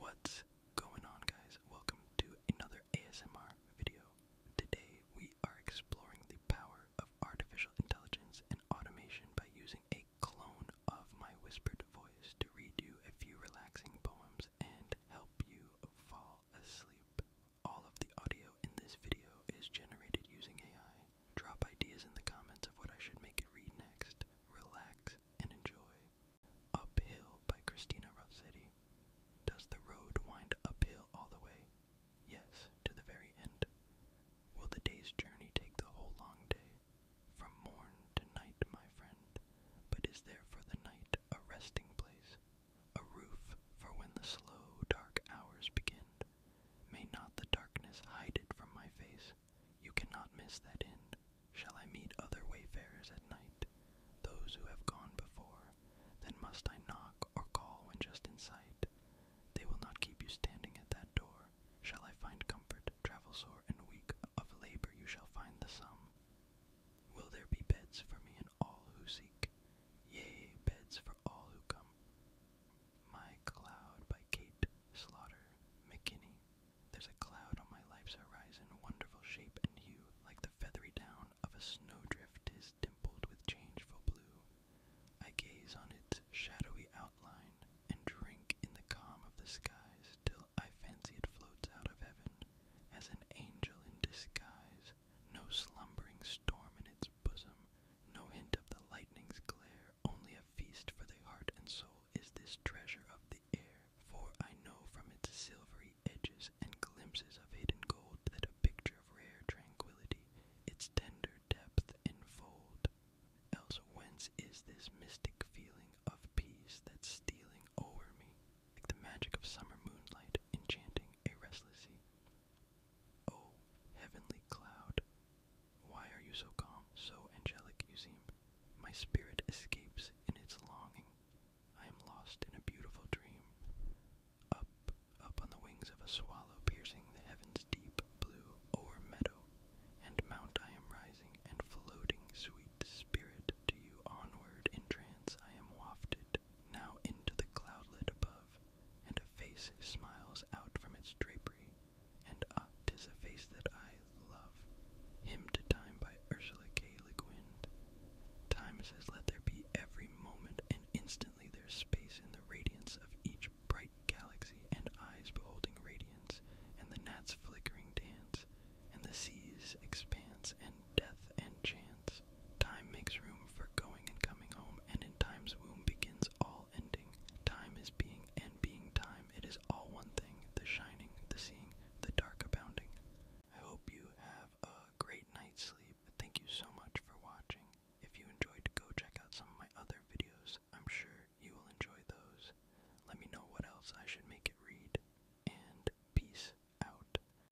What's going on, guys? Welcome to another ASMR video. Today, we are exploring the power of artificial intelligence and automation by using a clone of my whispered voice to read you a few relaxing poems and help you fall asleep. All of the audio in this video is generated using AI. Drop ideas in the comments of what I should make it read next. Relax and enjoy. Uphill by Christina Rossetti. Does the road wind uphill all the way? Yes, to the very end. Will the day's journey take the whole long day? From morn to night, my friend. But is there for the night a resting place? A roof for when the slow, dark hours begin? May not the darkness hide it from my face? You cannot miss that end. Shall I meet other wayfarers at night, those who have gone before? Then must I knock or call when just in sight? They will not keep you standing at that door. Shall I find comfort, travel sore and weak? Of labor you shall find the sum. Will there be beds for me and all who seek? Yea, beds for all who come. My Cloud by Kate Slaughter McKinney. There's a cloud on my life's horizon, wonderful shape and hue, like the feathery down of a snowdrift, dimpled with changeful blue. I gaze on its shadowy outline and drink in the calm of the skies till I fancy it floats out of heaven as an angel in disguise, no slumbering storm in its bosom, no hint of the lightning's glare, only a feast for the heart and soul is this treasure of the air. For I know from its silvery edges and glimpses of hidden gold that a picture of rare tranquility its tender depth enfold. Else whence is this mystic feeling of peace that's stealing o'er me, like the magic of summer moonlight, enchanting a restless sea? Oh, heavenly cloud, why are you so calm, so angelic you seem? My spirit escapes in its longing. I am lost in a beautiful dream. Up, up on the wings of a swallow, piercing the heaven's deep blue o'er meadow and mount, I am rising and floating, sweet spirit, to you onward in trance I am wafted. Now into the cloudlet above, and a face smiles out from its drapery, and ah, a face that I love. Hymn to Time by Ursula K. Time says, Let there be every moment, and instantly there's space in the radiance of each bright galaxy, and eyes beholding radiance, and the gnats flickering dance, and the sea's expanse, and death and chance, Time makes room for going and coming home, and in time's womb begins all ending. Time is being, and being time, it is all one thing the shining, the seeing, the dark abounding. I hope you have a great night's sleep. Thank you so much for watching. If you enjoyed, go check out some of my other videos. I'm sure you will enjoy those. Let me know what else I should make it read. And peace out.